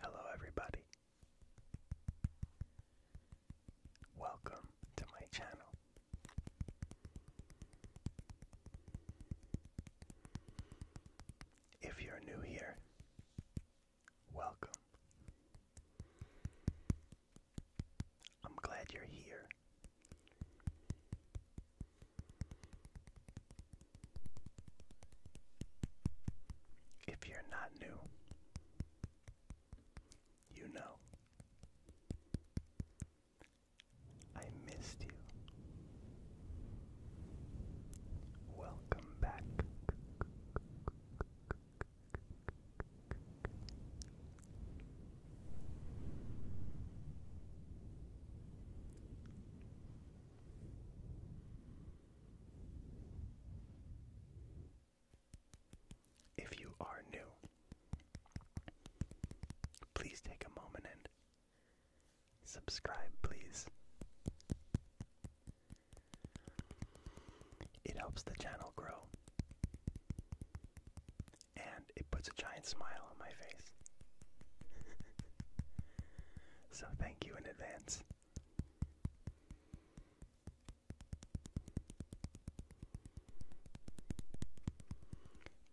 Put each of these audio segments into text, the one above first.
Hello, everybody. Welcome to my channel. If you're new here, welcome. I'm glad you're here. If you're not new, you know. I missed you. Welcome back. If you are new, please take a moment and subscribe, please. It helps the channel grow and it puts a giant smile on my face. so thank you in advance.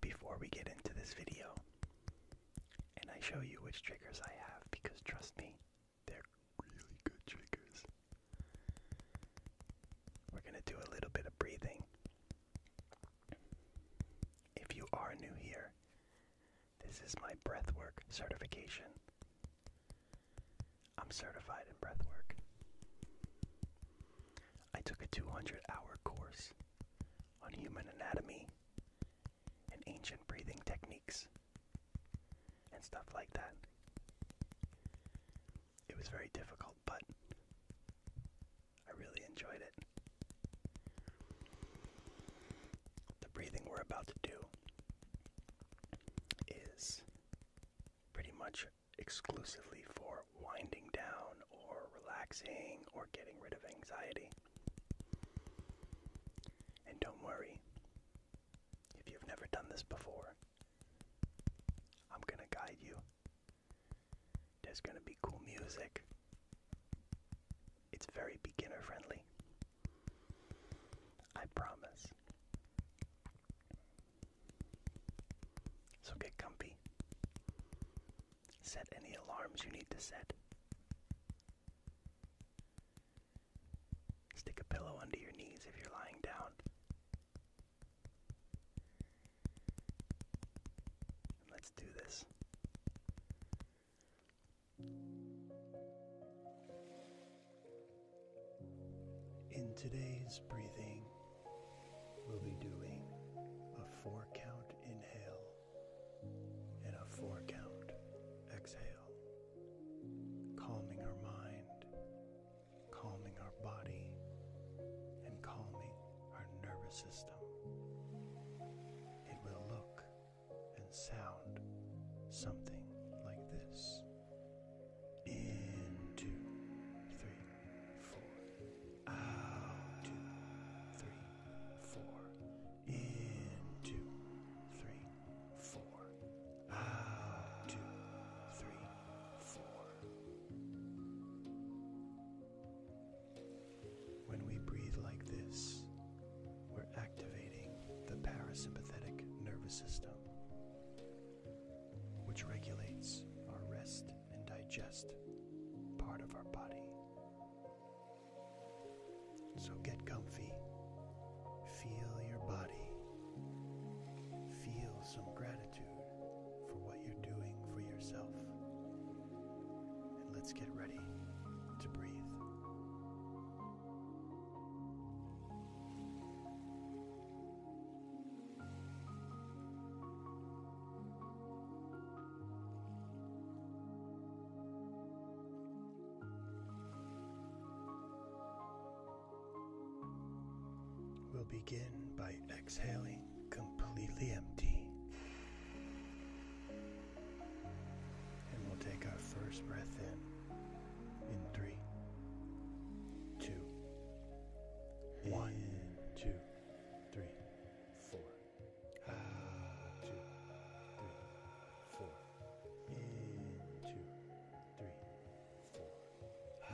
Before we get into this video, and I show you which triggers I have, because trust me, they're really good triggers. We're gonna do a little bit of breathing. If you are new here, this is my breathwork certification. I'm certified in breathwork. I took a 200 hour course on human anatomy and ancient breathing techniques and stuff like that. It was very difficult, but I really enjoyed it. The breathing we're about to do is pretty much exclusively for winding down or relaxing or getting rid of anxiety. And don't worry, if you've never done this before, I'm going to guide you there's gonna be cool music. It's very beginner friendly. I promise. So get comfy. Set any alarms you need to set. Stick a pillow under your knees if you're lying down let's do this. In today's breathing, we'll be doing a four count inhale and a four count exhale, calming our mind, calming our body, and calming our nervous system. It will look and sound something like this. In two, three, four. Out two, three, four. In two, three, four. Out two, three, four. When we breathe like this, we're activating the parasympathetic nervous system, which regulates our rest and digest part of our body. So get comfy, feel your body, feel some gratitude gratitude for what you're doing for yourself. And let's get ready to breathe. begin by exhaling completely empty. And we'll take our first breath in in three, two, one, in, ah. two, three, four. In, two, three, four. Ah.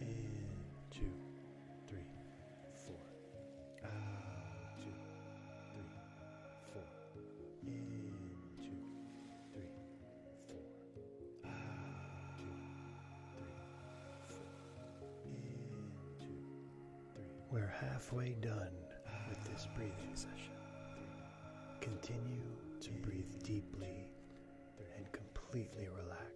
And two, three, four. Ah. Two, three, four. In two, three, four. Ah. Two, three, four. In two, three. We're halfway done with this breathing session. Continue to breathe deeply and completely relax.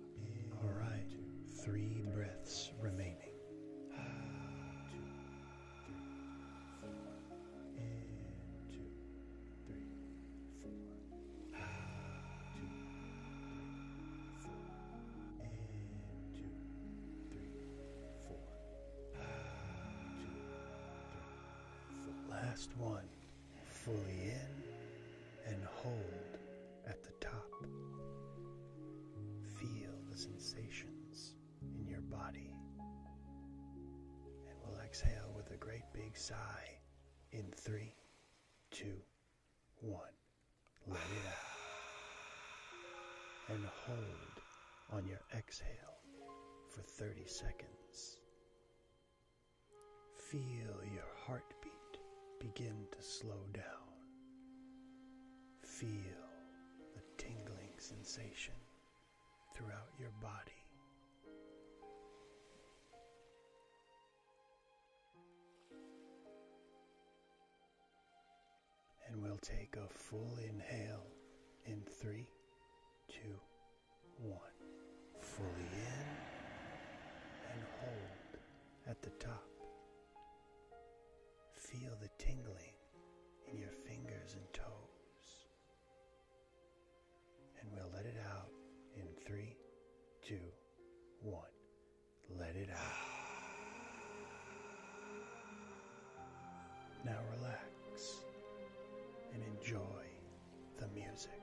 All right, three breaths remaining. Last one, fully in and hold at the top. Feel the sensations in your body. And we'll exhale with a great big sigh in three, two, one. Let it out. And hold on your exhale for 30 seconds. Feel your heartbeat begin to slow down. Feel the tingling sensation throughout your body. And we'll take a full inhale in three, two, one. Fully in and hold at the top. Feel the tingling in your fingers and toes. And we'll let it out in three, two, one. Let it out. Now relax and enjoy the music.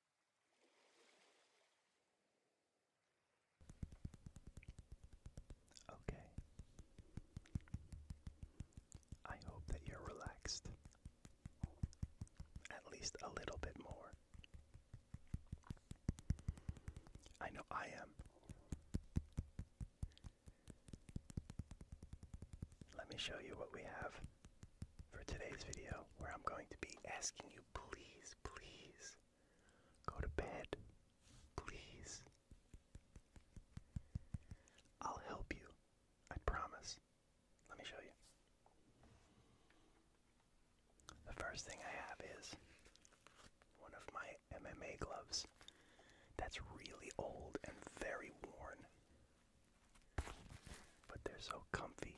Okay. I hope that you're relaxed. At least a little bit more. I know I am. Let me show you what we have for today's video where I'm going to be asking you please, please go to bed. Please. I'll help you. I promise. Let me show you. The first thing I have is one of my MMA gloves that's really old and very worn. But they're so comfy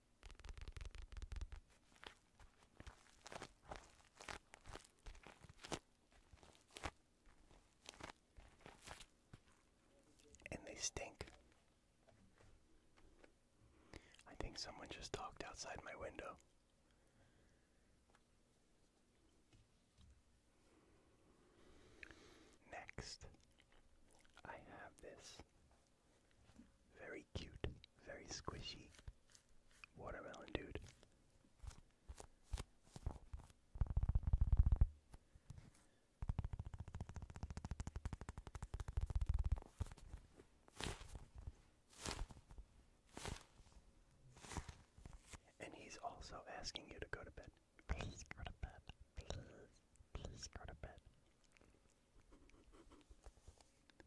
And they stink. I think someone just talked outside my window. Next, I have this very cute, very squishy watermelon dude. And he's also asking you to go to bed. Please go to bed. Please, please go to bed.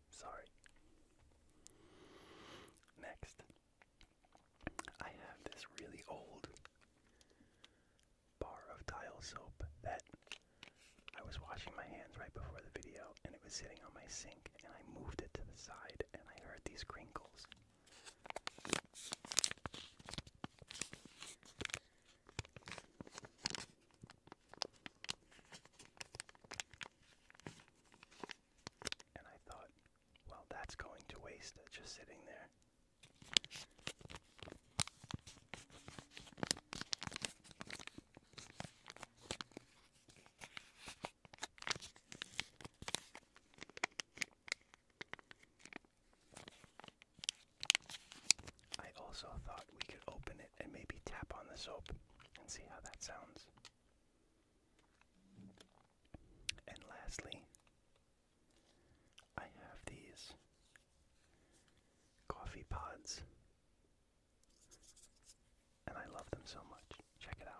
Sorry. Next, I have this really old bar of tile soap that I was washing my hands right before the video and it was sitting on my sink and I moved it to the side and I heard these crinkles. And I thought, well, that's going to waste just sitting there. I also thought we could open it and maybe tap on the soap and see how that sounds. And lastly, I have these coffee pods. And I love them so much. Check it out.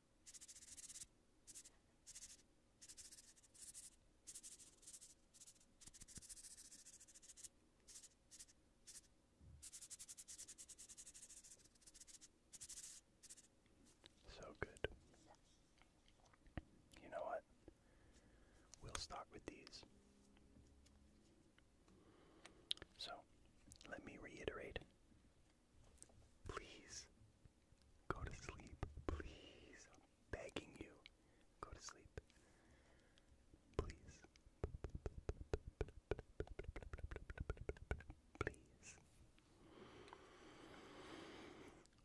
So good. You know what? We'll start with these. So, let me reiterate Please go to sleep. Please. begging you. Go to sleep. Please. Please.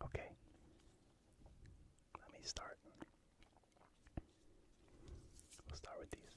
Okay. Let me start. We'll start with these.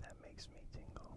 That makes me tingle.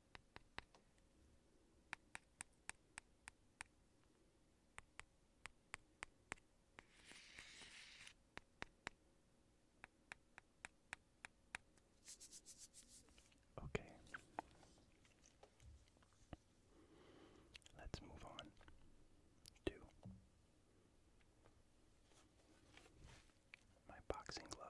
Okay. Let's move on to my boxing glove.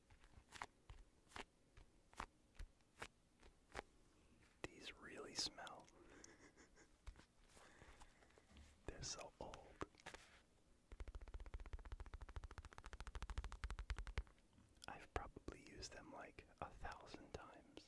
These really smell. They're so old. I've probably used them like a thousand times.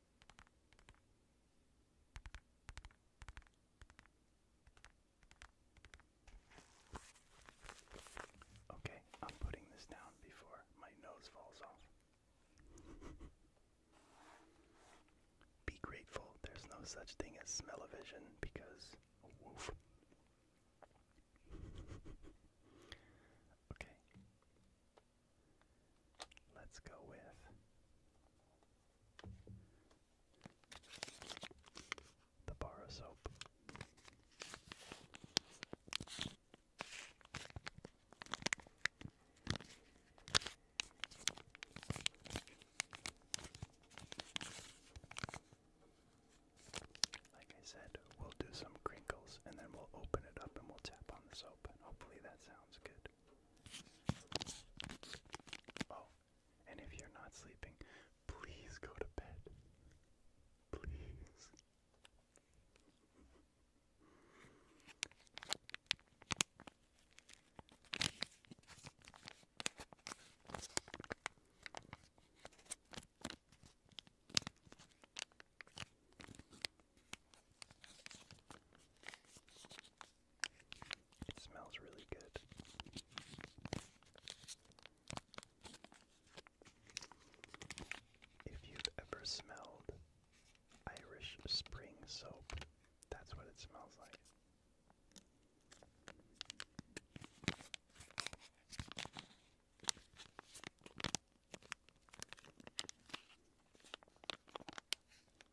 Okay, I'm putting this down before my nose falls off. Be grateful there's no such thing as smell-o-vision because Okay. Let's go with the bar of soap. Like I said, we'll do some crinkles and then we'll open it up and we'll tap on the soap, and hopefully that sounds good good. Oh, and if you're not sleeping, please go to bed. Please. It smells really good. If you've ever smelled Irish Spring soap, that's what it smells like.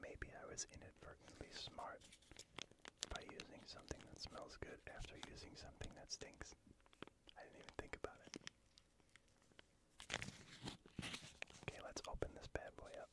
Maybe I was inadvertently smart by using something that smells good after using something that stinks. I didn't even think about it. Okay, let's open this bad boy up.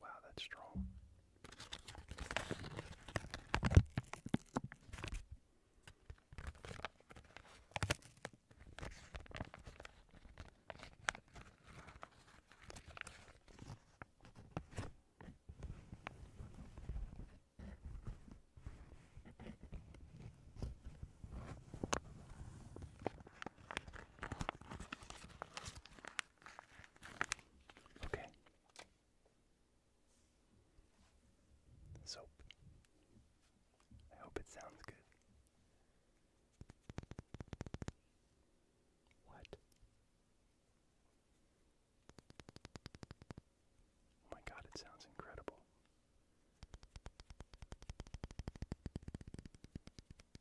Wow, that's strong. Okay. Soap. I hope it sounds good. What? Oh my god, it sounds incredible.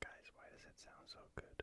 Guys, why does it sound so good?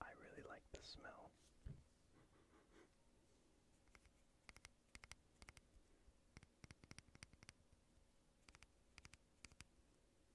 I really like the smell.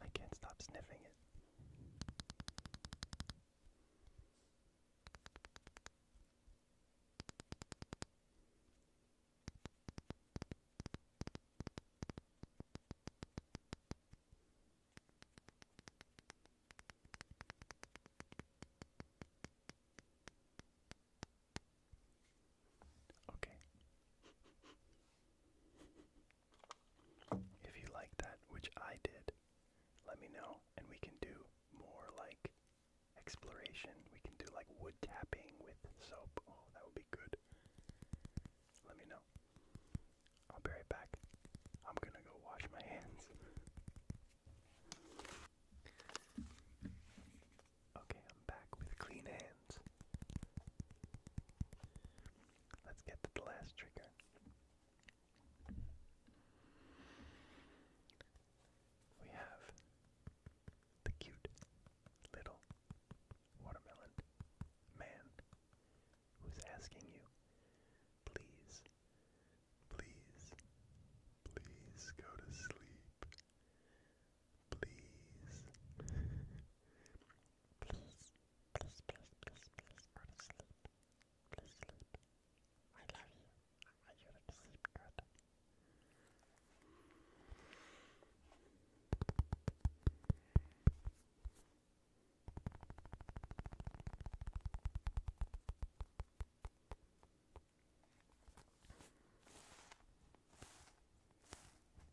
I can't stop sniffing it. Okay. If you like that, which I did, let me know and we can do more like exploration. We can do like wood tapping with soap. Oh, that would be good. Let me know. I'll be right back. I'm gonna go wash my hands. Okay, I'm back with clean hands. Let's get to the last trigger. We have the cute little watermelon man who's asking you, please, please, please go to sleep. Please. Please, please, please, please, please go to sleep. Please sleep. I love you. I want you to sleep good.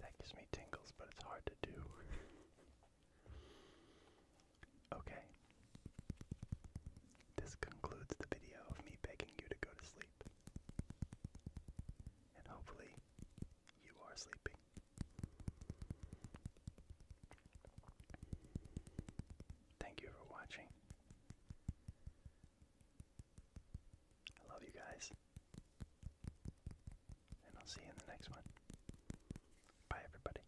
That gives me tingles, but it's hard to do. Okay. This concludes the video of me begging you to go to sleep. And hopefully, you are sleeping. Thank you for watching. I love you guys. And I'll see you in the next one. Bye, everybody.